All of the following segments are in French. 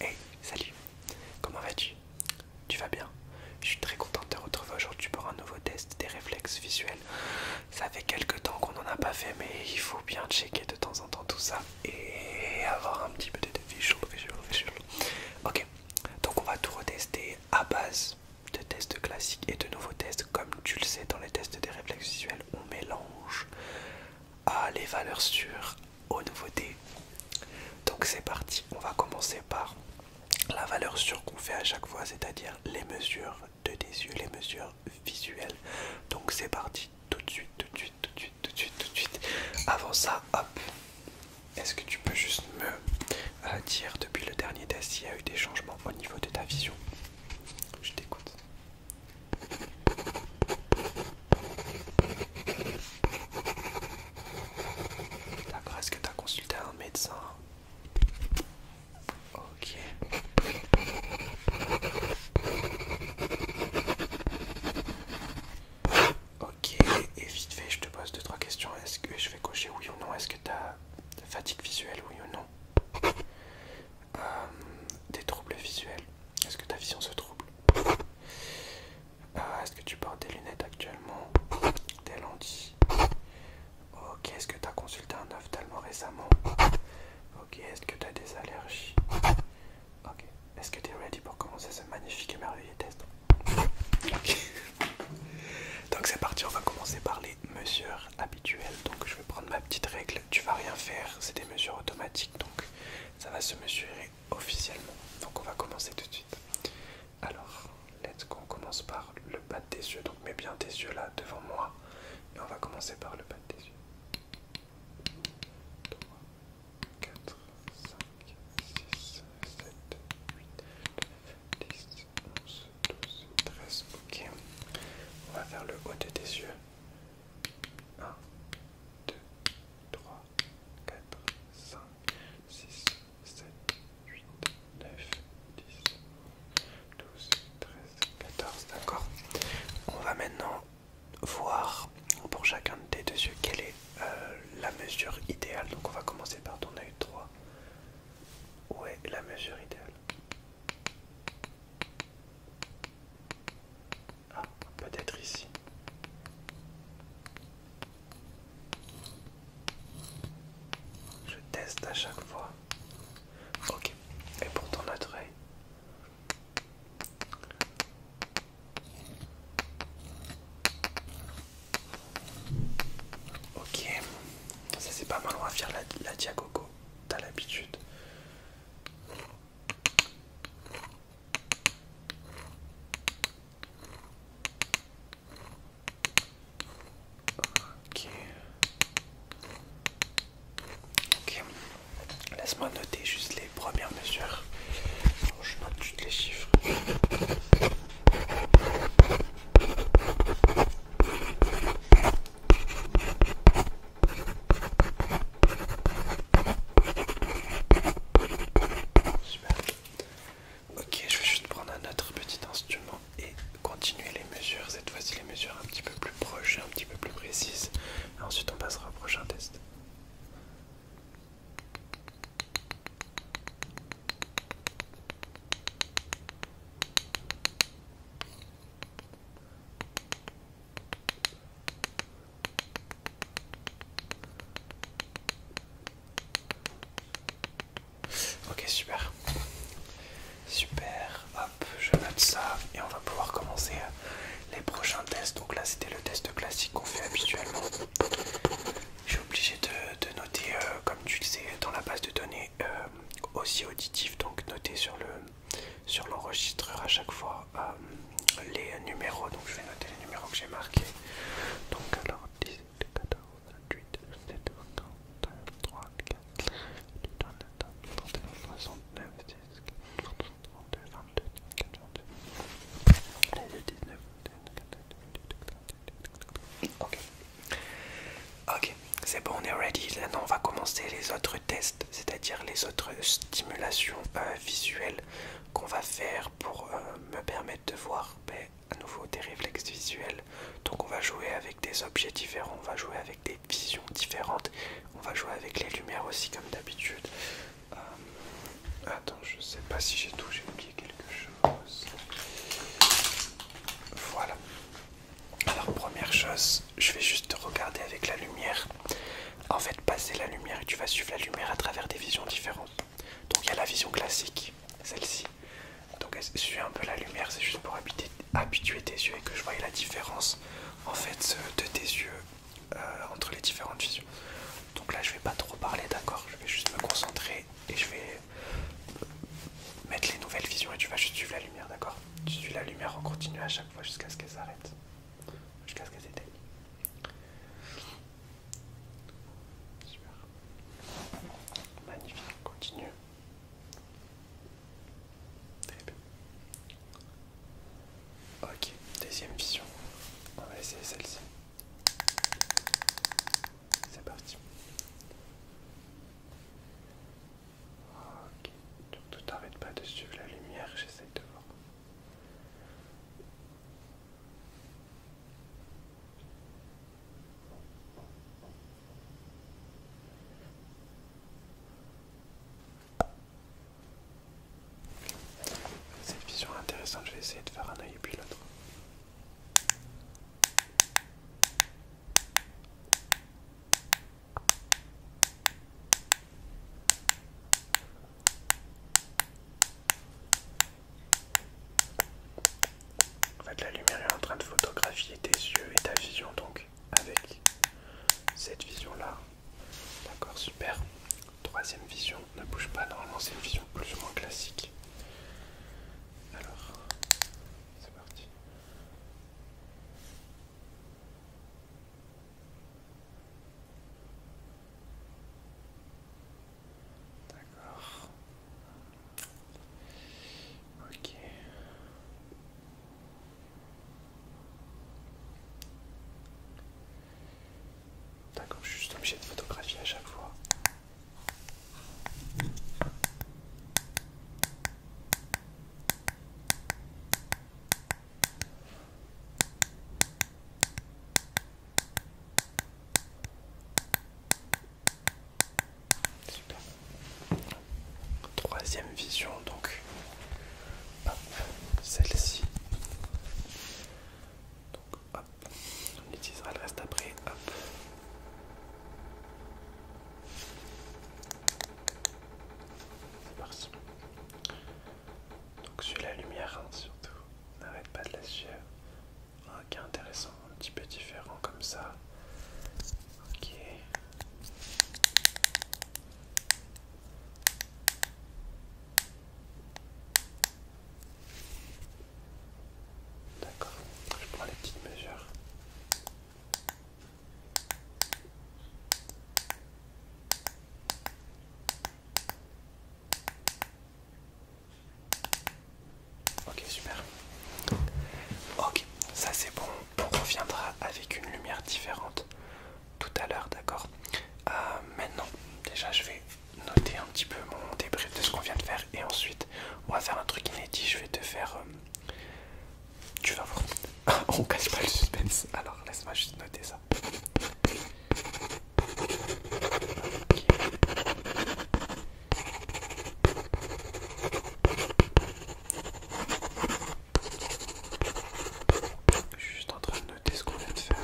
Hey, salut, comment vas-tu Tu vas bien Je suis très contente de te retrouver aujourd'hui pour un nouveau test des réflexes visuels. Ça fait quelques temps qu'on n'en a pas fait, mais il faut bien checker de temps en temps tout ça et avoir un petit peu de visuel. Ok, donc on va tout retester à base de tests classiques et de nouveaux tests. Comme tu le sais, dans les tests des réflexes visuels, on mélange à les valeurs sûres aux nouveautés. Donc c'est parti, on va commencer par la valeur sûre qu'on fait à chaque fois, c'est-à-dire les mesures de tes yeux, les mesures visuelles. Donc c'est parti, tout de suite, tout de suite, tout de suite, tout de suite, tout de suite. Avant ça, hop, est-ce que tu peux juste me euh, dire depuis le dernier test s'il y a eu des changements au niveau de ta vision Je t'écoute. D'accord, est-ce que tu as consulté un médecin Ok. Ok, et vite fait, je te pose 2-3 questions. Est-ce que je vais cocher oui ou non Est-ce que tu as fatigue visuelle, oui ou non Des euh, troubles visuels Est-ce que ta vision se trouble ah, est-ce que tu portes des lunettes actuellement Des lentilles Ok, est-ce que tu as consulté un tellement récemment Ok, est-ce que tu as des allergies Ok, est-ce que tu es ready pour commencer ce magnifique et merveilleux test donc c'est parti, on va commencer par les mesures habituelles. Donc je vais prendre ma petite règle, tu vas rien faire, c'est des mesures automatiques donc ça va se mesurer officiellement. Donc on va commencer tout de suite. Alors, let's go, on commence par le bas des yeux. Donc mets bien tes yeux là devant moi. Et on va commencer par le bas des yeux. 3, 4, 5, 6, 7, 8, 9, 10, 11, 12, 13. Ok. On va faire le haut des yeux. 1, 2, 3, 4, 5, 6, 7, 8, 9, 10, 11, 12, 13, 14. D'accord On va maintenant voir pour chacun de tes deux yeux quelle est euh, la mesure idéale. Donc on va commencer par ton œil droit. Où est la mesure idéale ah, peut-être ici. Je teste à chaque fois. Ok, et pour ton autre Ok, ça c'est pas mal, on va faire la, diacoco, t'as l'habitude. Ok. Ok. Laisse-moi noter juste les premières mesures. je note juste les chiffres. Ok, je vais juste prendre un autre petit instrument et continuer les mesures. Cette fois-ci, les mesures un petit peu plus proches, un petit peu plus précises. ensuite, on passera au prochain test. Ok, super. Super. Hop, je note ça et on va pouvoir commencer euh, les prochains tests. Donc là, c'était le test classique qu'on fait habituellement. Je suis obligé de, noter, euh, comme tu le sais, dans la base de données euh, aussi auditif. Donc noter sur le sur l'enregistreur à chaque fois les numéros, donc je vais noter les numéros que j'ai marqués. Donc alors 10, 14, Ok, ok, c'est bon, on est ready. Maintenant, on va commencer les autres tests, c'est-à-dire les autres stimulations visuelles qu'on va faire pour euh, me permettre de voir ben, à nouveau des réflexes visuels. Donc on va jouer avec des objets différents, on va jouer avec des visions différentes, on va jouer avec les lumières aussi comme d'habitude. Euh, attends, je sais pas si j'ai tout, j'ai oublié quelque chose. Voilà. Alors première chose, je vais juste regarder avec la lumière en fait passer la lumière et tu vas suivre la lumière à travers des visions différentes. Donc il y a la vision classique, celle-ci. Donc elle un peu la lumière, c'est juste pour habituer tes yeux et que je voie la différence en fait de tes yeux euh, entre les différentes visions. Donc là je vais pas trop parler d'accord, je vais juste me concentrer et je vais mettre les nouvelles visions et tu vas juste suivre la lumière d'accord Tu suis la lumière en continu à chaque fois jusqu'à ce qu'elle s'arrête. Jusqu'à ce qu'elle s'était Super. Magnifique, continue. Très bien. Ok, deuxième vision. On va essayer celle-ci. C'est parti. Ok, donc tu n'arrêtes pas de suivre la lumière, J'essaie de voir. Cette vision intéressante, je vais essayer de faire un œil et puis l'autre. En fait, la lumière est en train de photographier tes yeux et ta vision, donc avec cette vision-là. D'accord, super. Troisième vision, ne bouge pas, normalement c'est une vision plus ou moins classique. Alors, c'est parti. D'accord. Ok. D'accord, je suis juste obligé de photographier à chaque fois. Troisième vision donc. celle-ci. Donc hop, on utilisera le reste après. Hop. Donc suis la lumière hein, surtout. N'arrête pas de la suivre. Ok, intéressant, un petit peu différent comme ça. Ok. D'accord, je prends les petites mesures. Ok, super. Ok, ça c'est bon. On reviendra avec une lumière différente tout à l'heure, d'accord euh, Maintenant, déjà je vais noter un petit peu mon débrief de ce qu'on vient de faire et ensuite on va faire un truc inédit. Je vais te faire. Euh, tu vas voir. on cache pas le suspense. Alors laisse-moi juste noter ça. Je suis juste en train de noter ce qu'on vient de faire.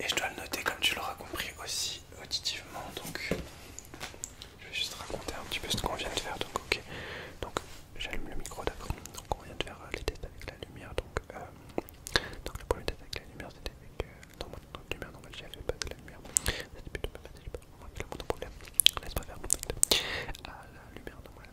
Et je dois le noter comme tu l'auras compris aussi auditivement. Donc je vais juste raconter un petit peu ce qu'on vient de faire. Donc ok. Donc j'allume le micro d'accord. Donc on vient de faire euh, les tests avec la lumière. Donc, euh, donc le premier test avec la lumière c'était avec la euh, non, lumière normale, j'avais pas de la lumière. C'était plutôt pas pas vraiment problème. Laisse pas faire mon test. à la lumière normale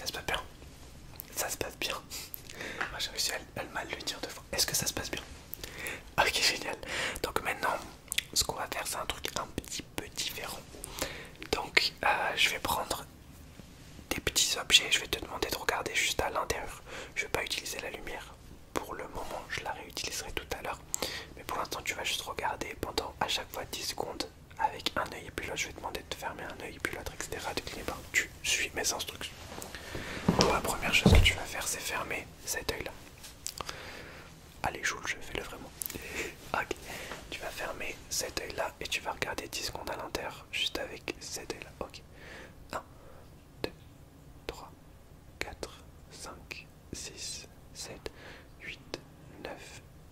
Ça se passe bien. Ça se passe bien. Moi j'ai réussi à, mal le dire deux fois. Est-ce que ça se passe bien Ok, génial. Donc maintenant, ce qu'on va faire, c'est un truc un petit peu différent. Donc euh, je vais prendre des petits objets. Je vais te demander de regarder juste à l'intérieur. Je vais pas utiliser la lumière pour le moment. Je la réutiliserai tout à l'heure. Mais pour l'instant, tu vas juste regarder pendant à chaque fois 10 secondes avec un oeil et puis l'autre, je vais demander de fermer un oeil et puis l'autre, etc. De cligner tu suis mes instructions. la première chose que tu vas faire, c'est fermer cet oeil là Allez, joue je fais le vraiment. ok, tu vas fermer cet oeil là et tu vas regarder 10 secondes à l'intérieur, juste avec cet oeil là Ok, 1, 2, 3, 4, 5, 6, 7, 8, 9,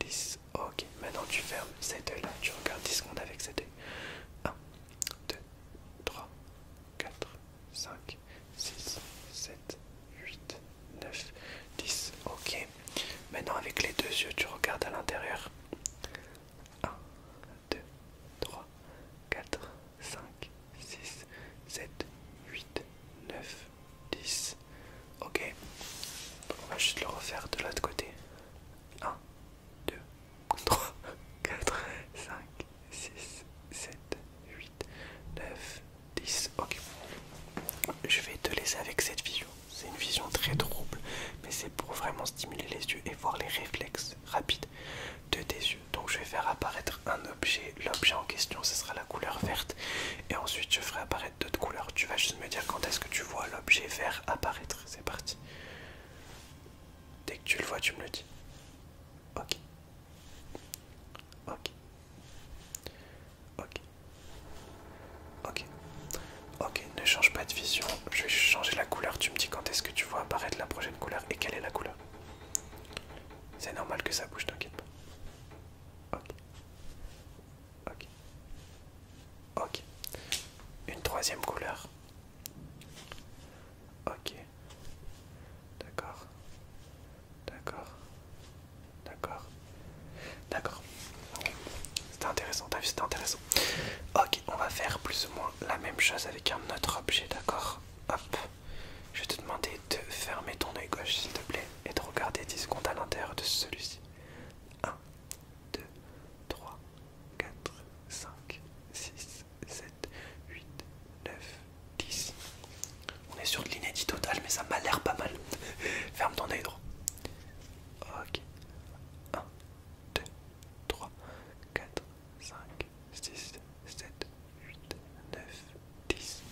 10, Ok, maintenant tu fermes cette œil là, tu regardes 10 secondes avec cet œil. 1, 2, 3, 4, 5, 6, 7, 8, 9, 10. Ok, maintenant avec les deux yeux, tu regardes à l'intérieur. 1, 2, 3, 4, 5, 6, 7, 8, 9, 10. Ok. on va juste le refaire de l'autre côté. 1, 2, 3, 4, 5, 6, 7, 8, 9, 10. Ok. Je vais te laisser avec cette vision. C'est une vision très trouble, mais c'est pour vraiment stimuler les yeux et voir les réflexes rapides de tes yeux. Donc je vais faire apparaître un objet. L'objet en question, ce sera la couleur verte. Et ensuite je ferai apparaître d'autres couleurs. Tu vas juste me dire quand est-ce que tu vois l'objet vert apparaître. C'est parti. Dès que tu le vois, tu me le dis. Ok. Ok. Ok. Ok. Ok, ne change pas de vision. Je vais changer la couleur. Tu me dis quand est-ce que tu vois apparaître la prochaine couleur et quelle est la couleur. C'est normal que ça bouge, t'inquiète pas. Ok. Ok. Ok. Une troisième couleur. Ok. D'accord. D'accord. D'accord. D'accord. C'était intéressant, t'as vu, c'était intéressant. Ok, on va faire plus ou moins la même chose avec un autre objet, d'accord Hop. Je vais te demander de fermer ton œil gauche, s'il te plaît, et de regarder 10 secondes à l'intérieur de celui-ci. 1, 2, 3, 4, 5, 6, 7, 8, 9, 10. On est sur de l'inédit total, mais ça m'a l'air pas mal. Ferme ton oeil droit. Ok. 1, 2, 3, 4, 5, 6, 7, 8, 9, 10.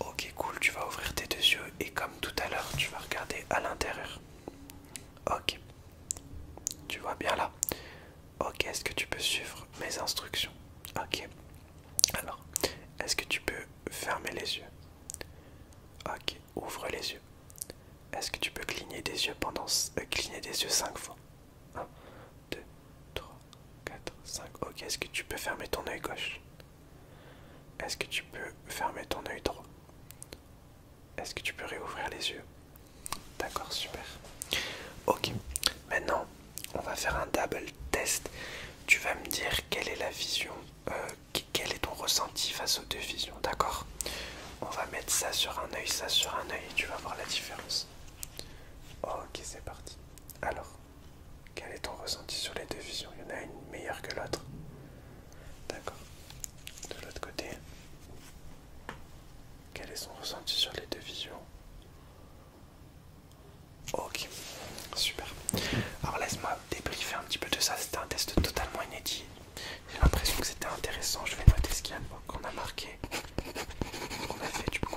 Ok cool, tu vas ouvrir tes deux yeux et comme tout à l'heure, tu vas regarder à l'intérieur. Ok. Tu vois bien là. Ok, est-ce que tu peux suivre mes instructions Ok. Alors, est-ce que tu peux fermer les yeux Ok, ouvre les yeux. Est-ce que tu peux cligner des yeux pendant euh, cligner des yeux 5 fois 1 2 3 4 5. OK, est-ce que tu peux fermer ton œil gauche est-ce que tu peux fermer ton œil droit Est-ce que tu peux réouvrir les yeux D'accord, super. Ok, maintenant on va faire un double test. Tu vas me dire quelle est la vision, euh, quel est ton ressenti face aux deux visions, d'accord On va mettre ça sur un œil, ça sur un œil, et tu vas voir la différence. Ok, c'est parti. Alors, quel est ton ressenti sur les deux visions Il y en a une meilleure que l'autre. D'accord. De l'autre côté, quel est son ressenti sur les deux visions Ok, super. Alors laisse-moi débriefer un petit peu de ça. C'était un test totalement inédit. J'ai l'impression que c'était intéressant. Je vais noter ce qu'il y a qu'on a marqué, qu'on a fait du coup.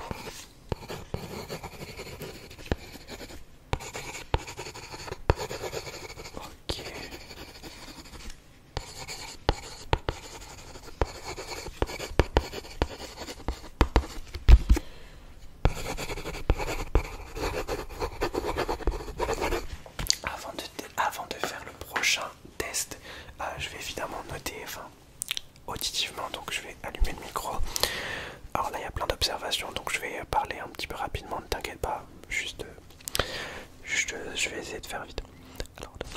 Avant de, faire le prochain test, euh, je vais évidemment noter, enfin auditivement, donc je vais allumer le micro. Alors là, il y a plein d'observations, donc je vais parler un petit peu rapidement, ne t'inquiète pas, juste je, je vais essayer de faire vite. Alors, les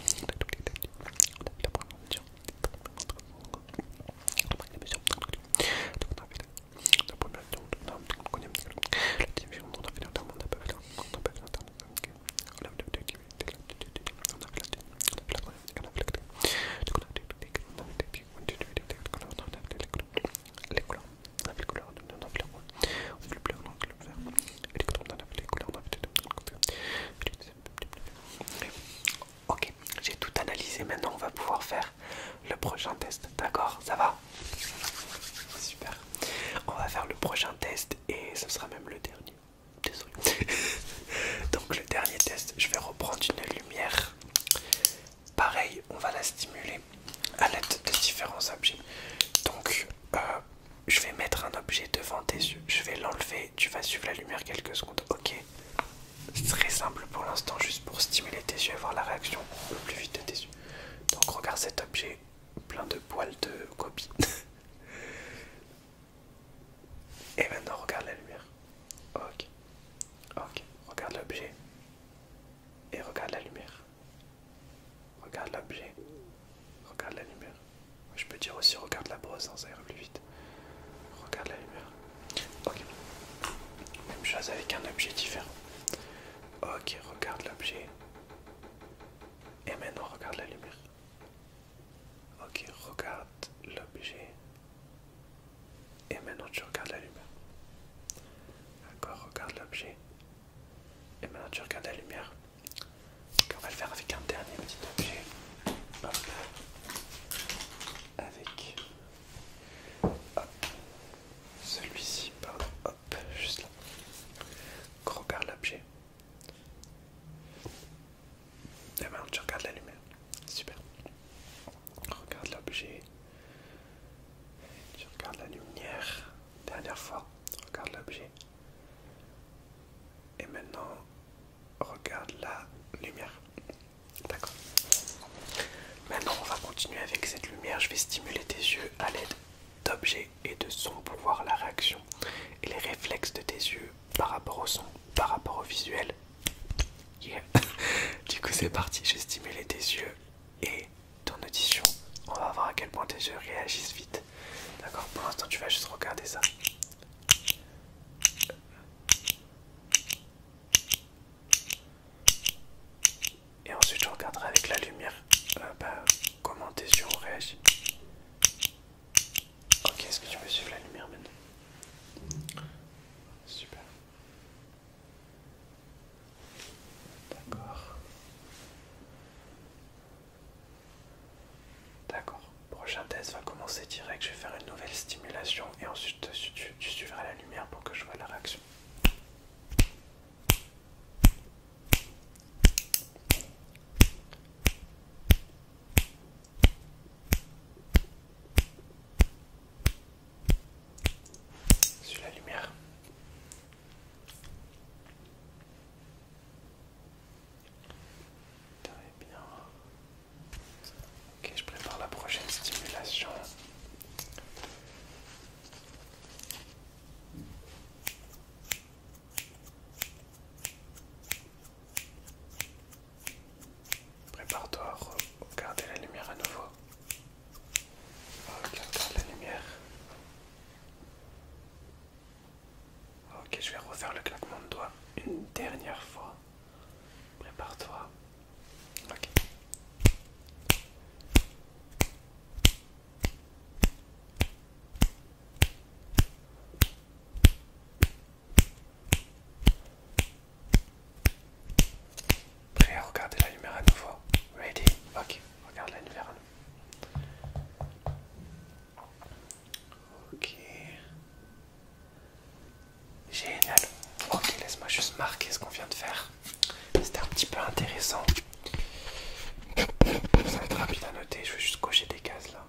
Ok, j'ai tout analysé. Maintenant, on va pouvoir faire le prochain test. D'accord, ça va Super. On va faire le prochain test et ce sera même le dernier. Désolé. Donc, le dernier test, je vais reprendre une lumière Pareil, on va la stimuler à l'aide de différents objets. Donc, euh, je vais mettre un objet devant tes yeux. Je vais l'enlever. Tu vas suivre la lumière quelques secondes. Ok. très simple pour l'instant, juste pour stimuler tes yeux et voir la réaction le plus vite de tes yeux. Donc, regarde cet objet plein de poils de copie. et maintenant, regarde la lumière. Ok. Ok. Regarde l'objet et regarde la lumière. Regarde l'objet. Regarde la lumière. Je peux dire aussi regarde la brosse, ça ira plus vite. Regarde la lumière. Ok. Même chose avec un objet différent. Ok, regarde l'objet. Et maintenant regarde la lumière. Ok, regarde l'objet. Et maintenant tu regardes la lumière. Encore regarde l'objet. Et maintenant tu regardes la lumière. on va le faire avec un dernier petit objet. Hop. Avec celui-ci, pardon, hop, juste là. regarde l'objet. Et maintenant tu regardes la lumière. Super. Regarde l'objet. Tu regardes la lumière. Dernière fois, regarde l'objet. Et maintenant, regarde la lumière. D'accord. Maintenant, on va continuer avec cette lumière. Je vais stimuler tes yeux à l'aide d'objets et de sons pour voir la réaction et les réflexes de tes yeux par rapport au son, par rapport au visuel. du coup, c'est parti. J'ai stimulé tes yeux et ton audition. On va voir à quel point tes yeux réagissent vite. D'accord Pour l'instant, tu vas juste regarder ça. Et ensuite, je regarderas avec la lumière euh, bah, comment tes yeux ont réagi. Ok, est-ce que tu peux suivre la lumière maintenant Super. D'accord. D'accord. Prochain test va commencer direct. Je vais faire une nouvelle stimulation et ensuite tu, suivras la lumière pour que je vois la réaction sur la lumière. bien. Ok, je prépare la prochaine stimulation. Prépare-toi à regarder la lumière à nouveau. Ok, ah, la lumière. Ok, je vais refaire le claquement de doigts une dernière fois. Prépare-toi. Ok. Prêt à regarder la lumière à nouveau Ready Ok, regarde la lumière Ok. Génial. Ok, laisse-moi juste marquer ce qu'on vient de faire. C'était un petit peu intéressant. Ça va être rapide à noter, je vais juste cocher des cases là.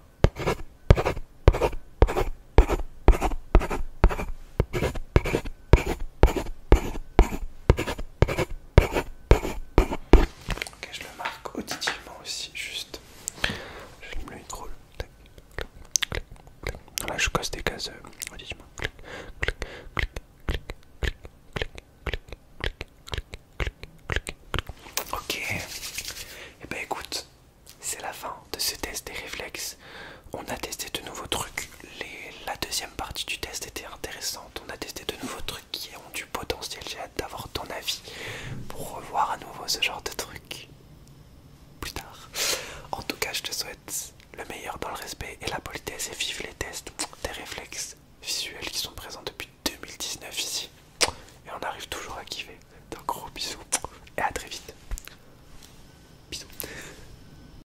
Ok, je le marque auditivement aussi, juste. je J'allume le micro. Là, je casse des cases euh, auditivement. Clic, clic, clic, clic, clic, clic, clic, clic, clic, Ok. Et eh bah ben, écoute, c'est la fin de ce test des réflexes. On a testé de nouveaux trucs. la deuxième partie du test était intéressante. On a testé de nouveaux trucs qui ont du potentiel. J'ai hâte d'avoir ton avis pour revoir à nouveau ce genre de trucs plus tard. En tout cas, je te souhaite le meilleur dans le respect et la politesse et vive les tests, des réflexes visuels qui sont présents depuis 2019 ici. Et on arrive toujours à kiffer. Donc gros bisous et à très vite. Bisous.